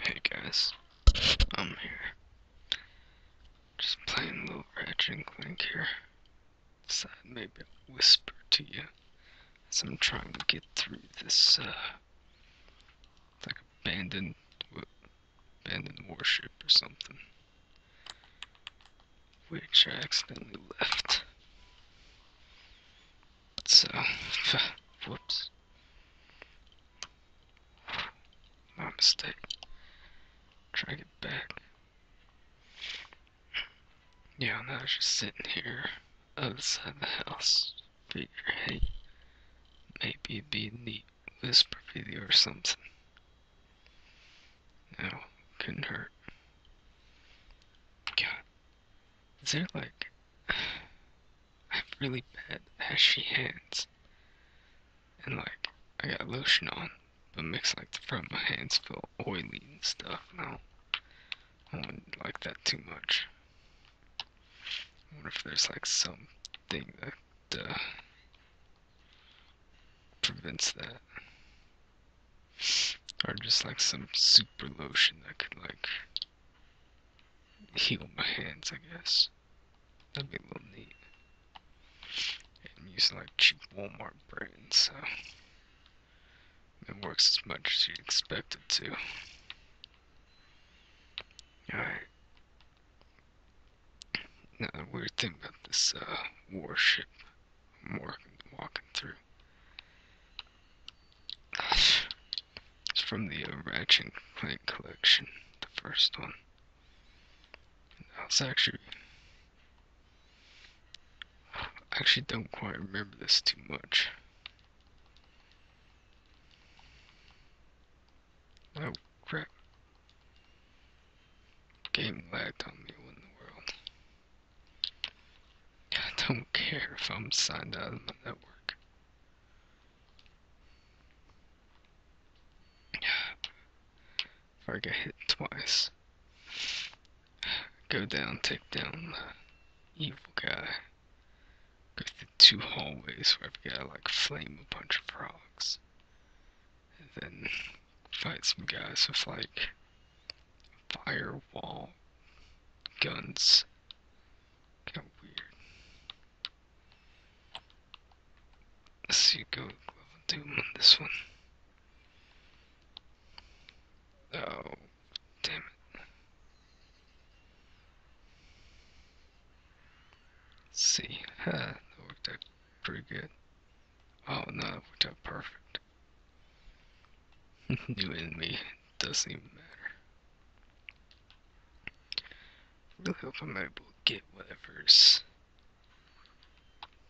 Hey guys, I'm here. Just playing a little Ratchet Clank here. Decide maybe I'll whisper to you as I'm trying to get through this, uh, like abandoned, abandoned warship or something. Which I accidentally left. So, whoops. My mistake. Try to get back. Yeah, now I am just sitting here, outside the house. Figure, maybe it'd be a neat whisper video or something. No, couldn't hurt. God is there like. I have really bad ashy hands. And like, I got lotion on, but makes like the front of my hands feel oily and stuff. And I don't, like that too much. I wonder if there's like something that uh, prevents that. Or just like some super lotion that could like heal my hands, I guess. That'd be a little neat. And use like cheap Walmart brand, so it works as much as you'd expect it to. Alright. Now the weird thing about this uh, warship I'm walking through it's from the uh, Ratchet Clank collection, the first one. That's actually... I actually don't quite remember this too much. Oh, crap. Game lagged on me, what in the world? I don't care if I'm signed out of my network. If I get hit twice, go down, take down the evil guy, go through two hallways where I've got to like flame a bunch of frogs, and then fight some guys with like firewall, guns. Kind of weird. Let's see, go level doom on this one. Oh, damn it. Let's see, huh, that worked out pretty good. Oh no, worked out perfect. New enemy doesn't even matter. We'll help am able get whatever's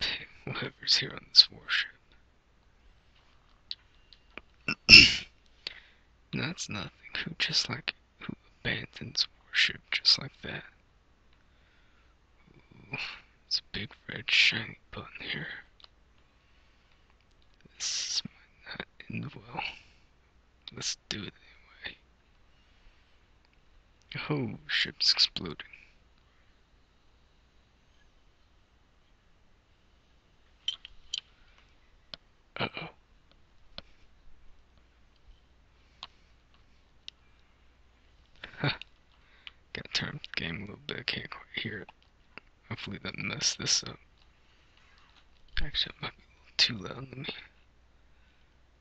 whatever's here on this warship. That's nothing. Who just like who abandons warship just like that? Ooh, it's a big red shiny button here. This might not end well. Let's do it anyway. Oh, ship's exploding. Uh-oh. Gotta the game a little bit, can't quite hear it. Hopefully that messed this up. Actually, it might be a little too loud. Let me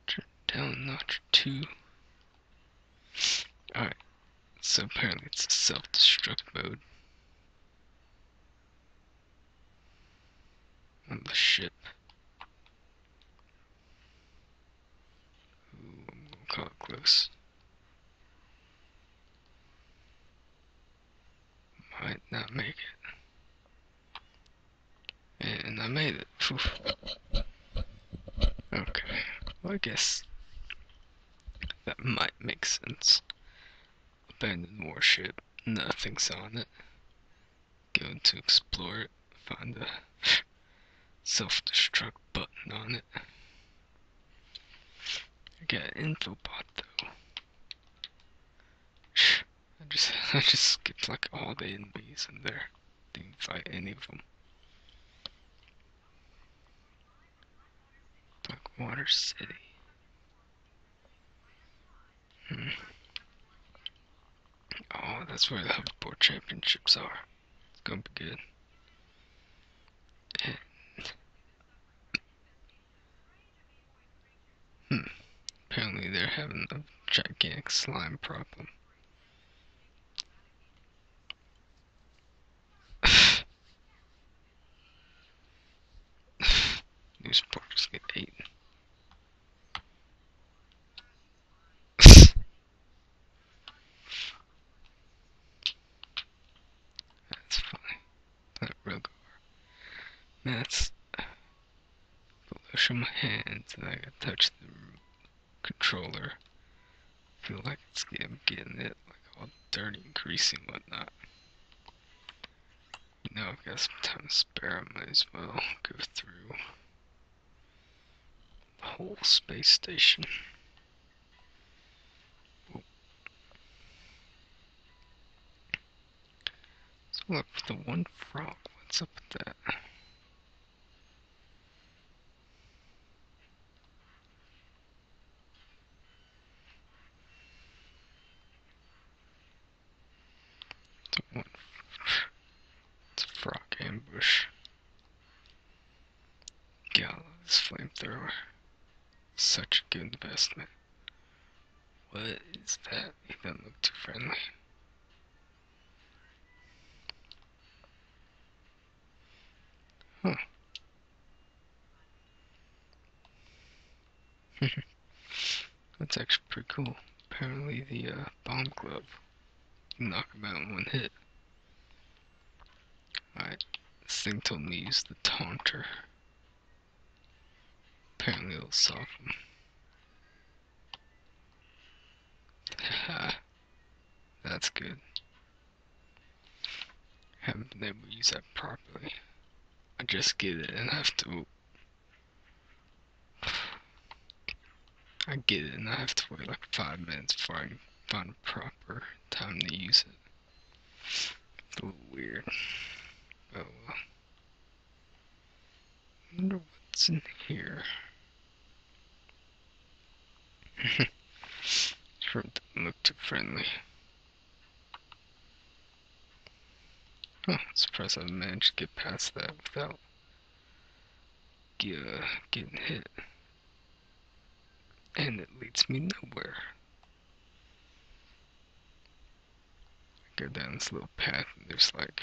turn down a notch two. Alright, so apparently it's a self-destruct mode. On the ship. Ooh, I'm gonna call close. Might not make it. And I made it. Okay. I guess that might make sense. Abandoned warship. Nothing's on it. Going to explore it. Find the self-destruct button on it. I Get an infobot though. I just I just skipped like all the enemies in there. Didn't fight any of them. Blackwater City. Hmm. Oh, that's where the hoverboard championships are. It's gonna be good. Hmm. Apparently they're having a gigantic slime problem. These porks get eaten. That's funny. Not real car. Man, that's flush in my hands and I can touch the controller. Feel like it's getting, getting it like all dirty and greasy whatnot. Now I've got some time to spare. I might as well go through the whole space station. So look for the one frog. What's up with that? It's a, one, it's a frog ambush. Gala, this flamethrower. Such a good investment. What is that? He doesn't look too friendly. Huh. That's actually pretty cool. Apparently the uh, bomb club, knock him out in one hit. I Alright, Sington leaves the taunter. Apparently it'll solve him. That's good. Haven't been able to use that properly. I just get it and I have to... I get it and I have to wait like five minutes before I can find proper time to use it. It's a little weird. Oh well. wonder what's in here. sure doesn't look too friendly. I'm surprised I managed to get past that without uh, getting hit. And it leads me nowhere. I go down this little path and there's like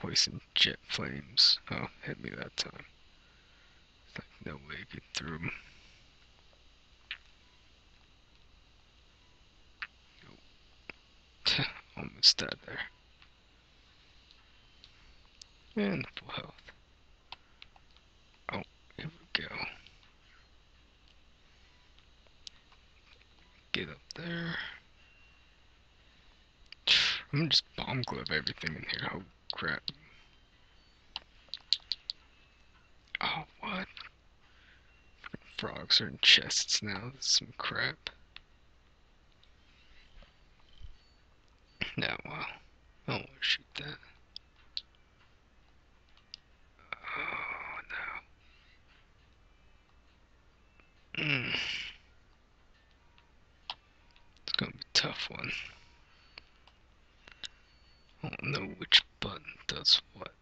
poison jet flames. Oh, hit me that time. It's like no way to get through them. Almost died there. And full health. Oh, here we go. Get up there. I'm gonna just bomb glove everything in here. Oh crap. Oh, what? Frogs are in chests now. That's some crap. No, well, I won't oh, shoot that. Oh, no. Hmm. It's gonna be tough one. I don't know which button does what.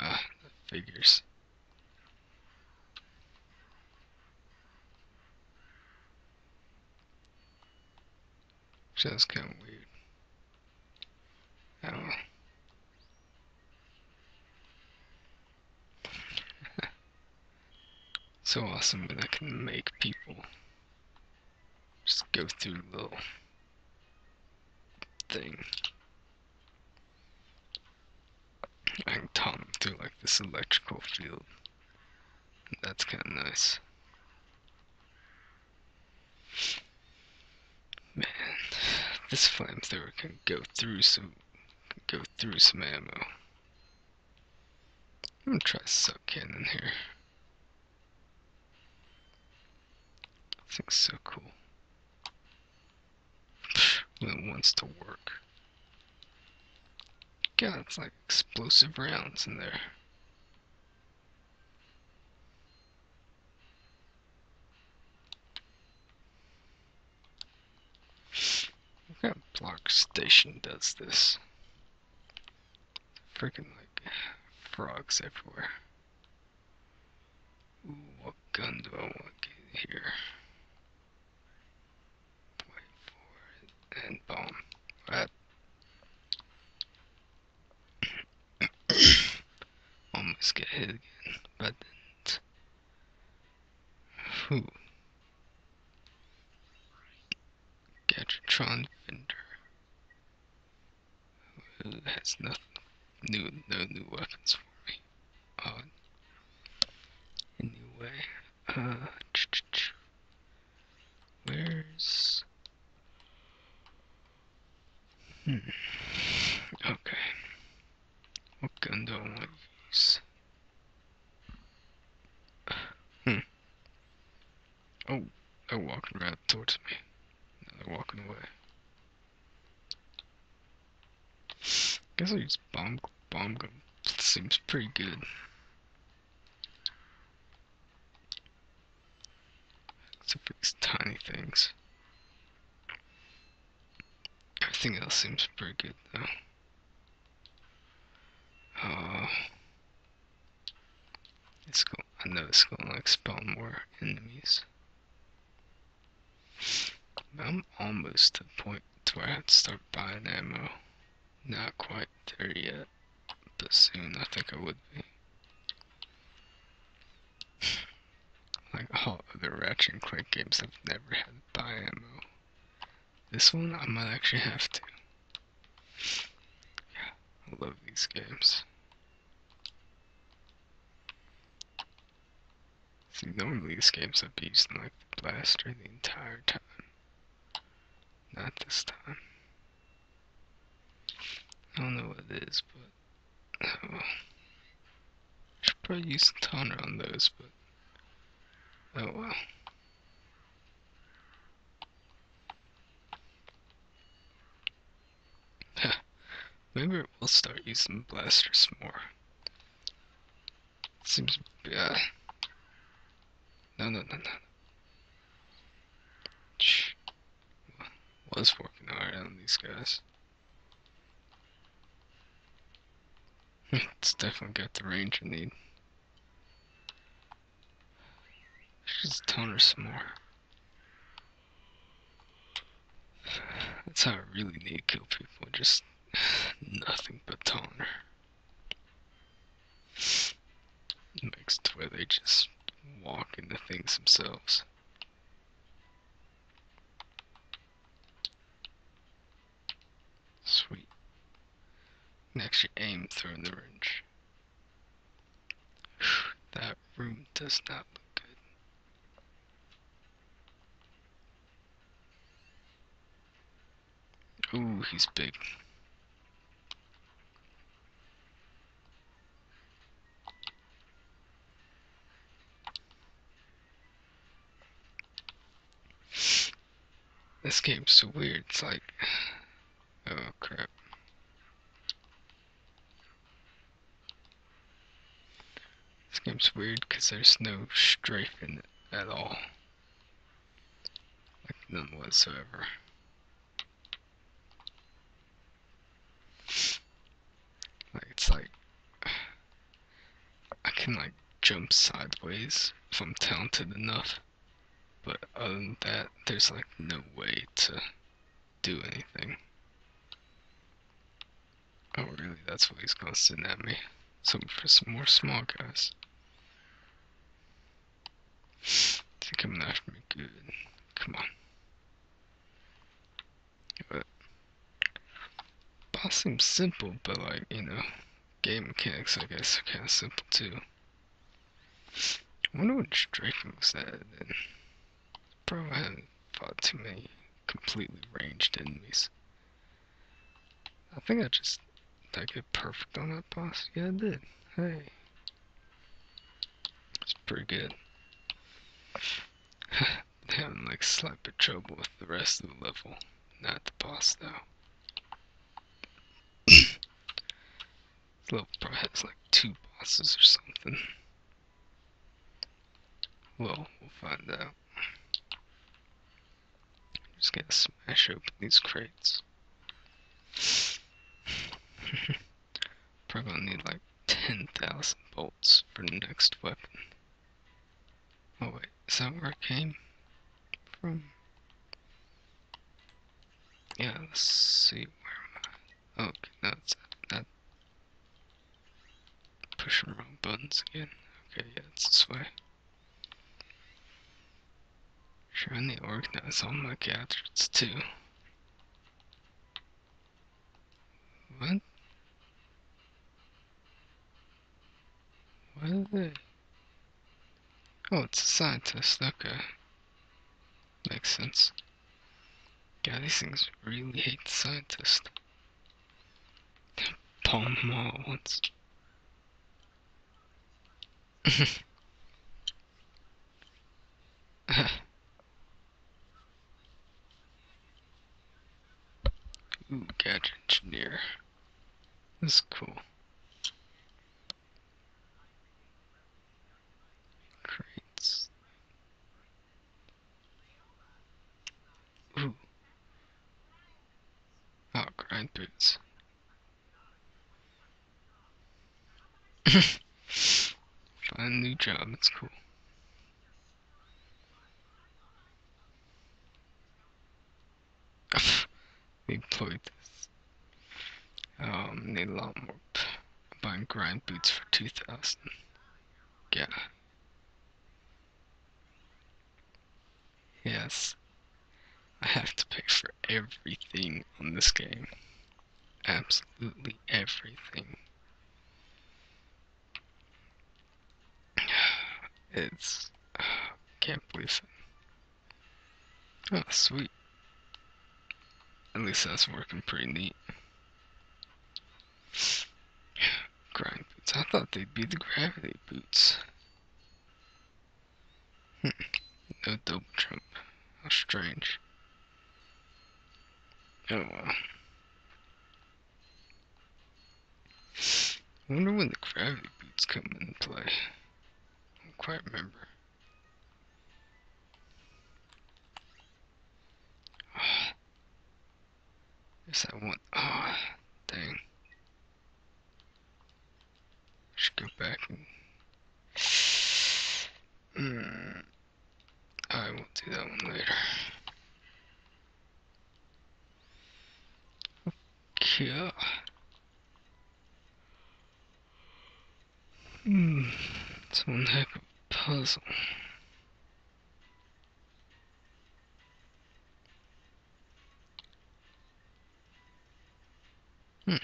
Ah, figures. That's kind of weird. I so awesome that I can make people just go through a little thing. I can Tom through like this electrical field. That's kind of nice. Man, this flamethrower can go through some, go through some ammo. I'm gonna try sub cannon here. This thing's so cool. Bloom wants to work. God, it's like explosive rounds in there. What block station does this? Freaking like frogs everywhere what gun do I want to get here? Point four and boom. That almost get hit again, but didn't. Whew. Gatratron vendor. That's nothing new, no new weapons for me. Uh, anyway, uh, where's. Hmm, okay. What gun do I Hmm. Oh, they're walking right towards me. they're walking away. Guess I use bomb bomb gun. Seems pretty good. Except for these tiny things. Everything else seems pretty good though. Uh it's cool. I know it's gonna expel more enemies. I'm almost to the point where I'd start buying ammo. Not quite there yet, but soon I think I would be. like all other Ratchet and Clank games, I've never had to buy ammo. This one, I might actually have to. Yeah, I love these games. See, normally this game's a beast like the blaster the entire time. Not this time. I don't know what it is, but oh Should probably use some toner on those, but oh well. Maybe we'll start using blasters more. Seems bad. No, no, no, no. Shh. Was working hard on these guys. it's definitely got the range I need. Just toner some more. That's how I really need to kill people, just nothing but toner. Next to where they just walk into things themselves. Sweet. Next you aim through the range. That room does not look good. Ooh, he's big. This game's so weird, it's like... Oh crap. This game's weird because there's no strafing at all. Like none whatsoever. Like it's like I can like jump sideways if I'm talented enough. But other than that, there's like no way to do anything. Oh, really? That's what he's gonna send at me. Some for some more small guys. Is he coming after me? Good. Come on. But boss seems simple, but like you know, game mechanics I guess are kind of simple too. I wonder what Draken said then. Bro hadn't fought too many completely ranged enemies. I think I just did I get perfect on that boss? Yeah I did. Hey. it's pretty good. Having like slight bit trouble with the rest of the level. Not the boss though. this little probably has like two bosses or something. Well, we'll find out. just gonna smash open these crates. Probably need like 10,000 bolts for the next weapon. Oh wait, is that where I came from? Yeah, let's see, where am I? Oh, that's that. Pushing wrong buttons again. Okay, yeah, it's this way. Trying to organize all my gadgets too. What? What are they? Oh, it's a scientist, okay. Makes sense. God, these things really hate scientists. Palm mall once. Ooh, gadget engineer. This is cool. Crates. Ooh. Oh, grind boots. Find a new job, that's cool. Employed this. Um, need a lot more. I'm buying grind boots for 2,000. Yeah. Yes. I have to pay for everything on this game. Absolutely everything. It's... can't believe it. Oh, sweet. At least that's working pretty neat. Grind boots. I thought they'd be the gravity boots. Hmm. no double jump. How strange. Oh I wonder when the gravity boots come into play. I don't quite remember. Yes, I want. Oh, dang. should go back and. Hmm, I will do that one later. Okay. Hmm, it's one heck of a puzzle. Hmm.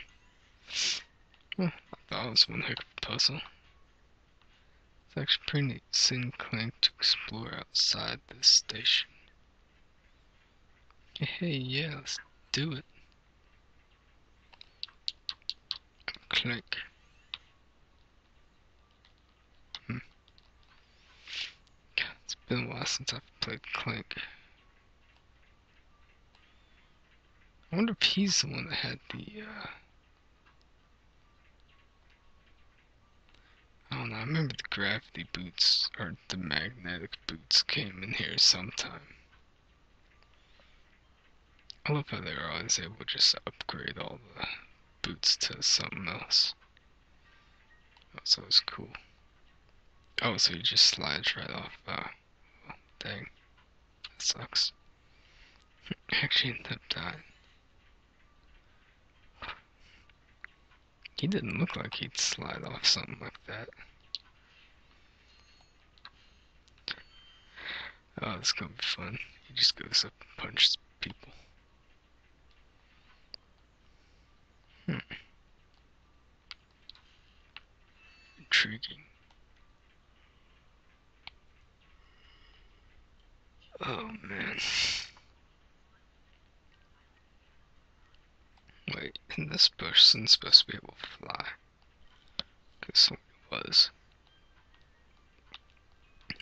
that was one heck of a puzzle. It's actually pretty neat sin to explore outside the station. Hey, yeah, let's do it click. Hmm. God, it's been a while since I've played click. I wonder if he's the one that had the, uh, I don't know, I remember the gravity boots, or the magnetic boots came in here sometime. I love how they're always able to just upgrade all the boots to something else. Oh, so it's cool. Oh, so he just slides right off. Oh, dang. That sucks. Actually ended that dying. He didn't look like he'd slide off something like that. Oh, this is gonna be fun. He just goes up and punches people. Hmm. Intriguing. Oh man. Wait, and this person's supposed to be able to fly. Because it was.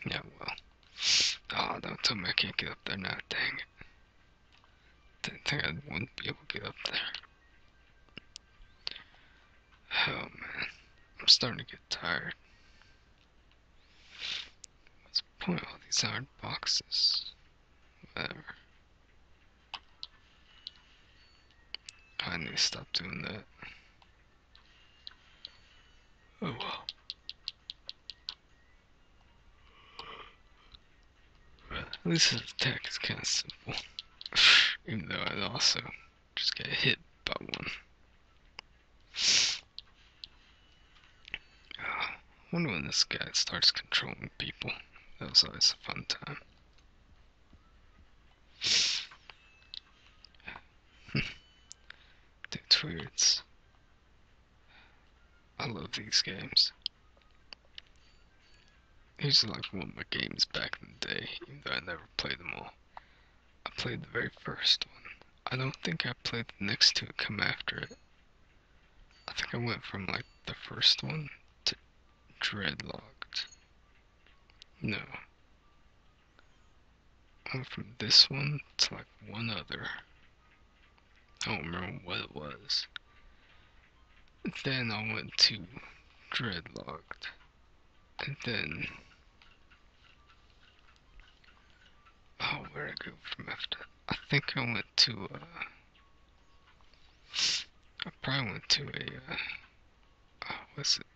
Yeah, well. Ah, oh, don't tell me I can't get up there now, dang it. Didn't think I wouldn't be able to get up there. Oh man, I'm starting to get tired. What's the point of all these iron boxes? Whatever. I need to stop doing that. Oh well. attack is kind of simple. Even though I also just got hit by one. I wonder when this guy starts controlling people. That was always a fun time. That's words. I love these games. Used to like one of my games back in the day, even though I never played them all. I played the very first one. I don't think I played the next two come after it. I think I went from like the first one to dreadlocked. No. Went oh, from this one it's like one other. I don't remember what it was. Then I went to dreadlocked. And then. Oh, where did I from after? I think I went to, uh, I probably went to a, uh, oh, what's it?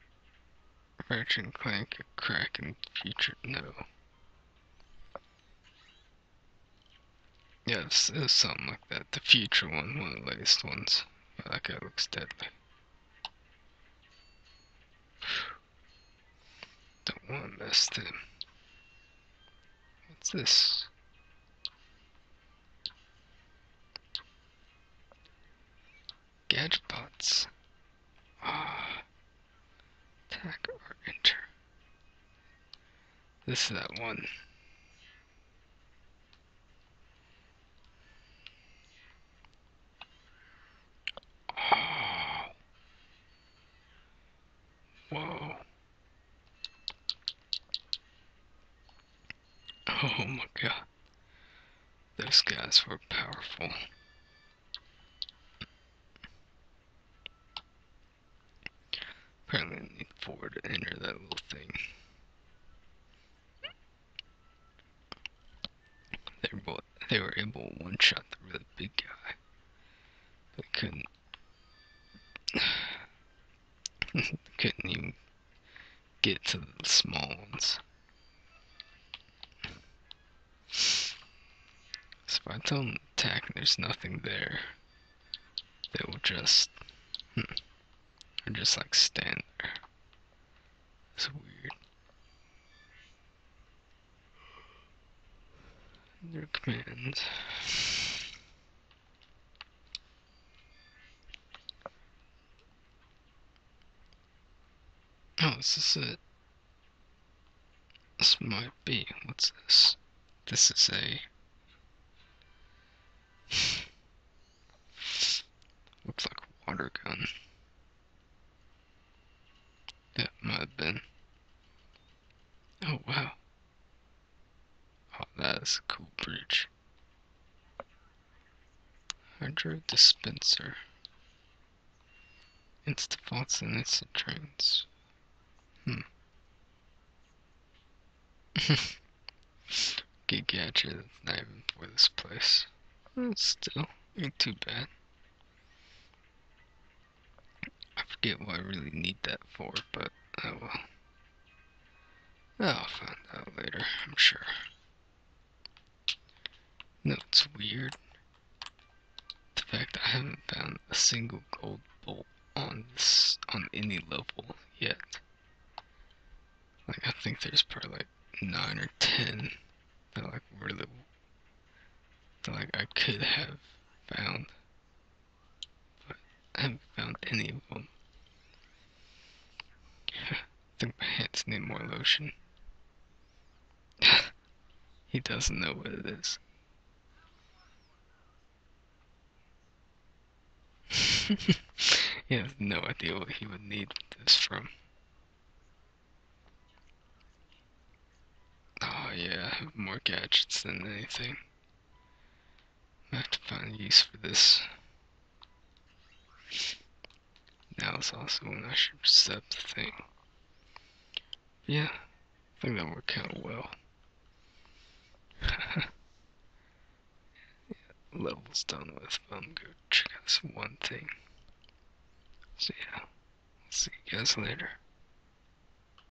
Ratchet Clank, a crack in future, no. Yes, yeah, something like that. The future one, one of the latest ones. Yeah, that guy looks deadly. Don't want to mess with them. What's this? Gadgebots. Ah. Attack or enter. This is that one. Oh. Whoa. Oh my god. Those guys were powerful. Apparently I need four to enter that little thing. They were, both, they were able to one-shot the really big guy. They couldn't... Couldn't even get to the small ones. So if I tell them attack and there's nothing there, they will just, hmm, or just like stand there. It's weird. Their commands. Oh, this is it? This might be. What's this? This is a... Looks like a water gun. That might have been. Oh, wow. Oh, that's a cool bridge. Hydro dispenser. It's the Instapots and Instatrons. Hmm. Get gadget that's not even for this place. Hmm, still, ain't too bad. I forget what I really need that for, but I oh will. I'll find out later, I'm sure. No, it's weird. The fact I haven't found a single gold bolt on this, on any level yet. Like I think there's probably like nine or ten that like really that like I could have found. But I haven't found any of them. I think my hands need more lotion. he doesn't know what it is. he has no idea what he would need this from. Oh yeah, I have more gadgets than anything. I have to find a use for this. Now it's also an I sub thing. Yeah, I think that worked out well. yeah, level's done with, but I'm gonna check out this one thing. So yeah, see you guys later.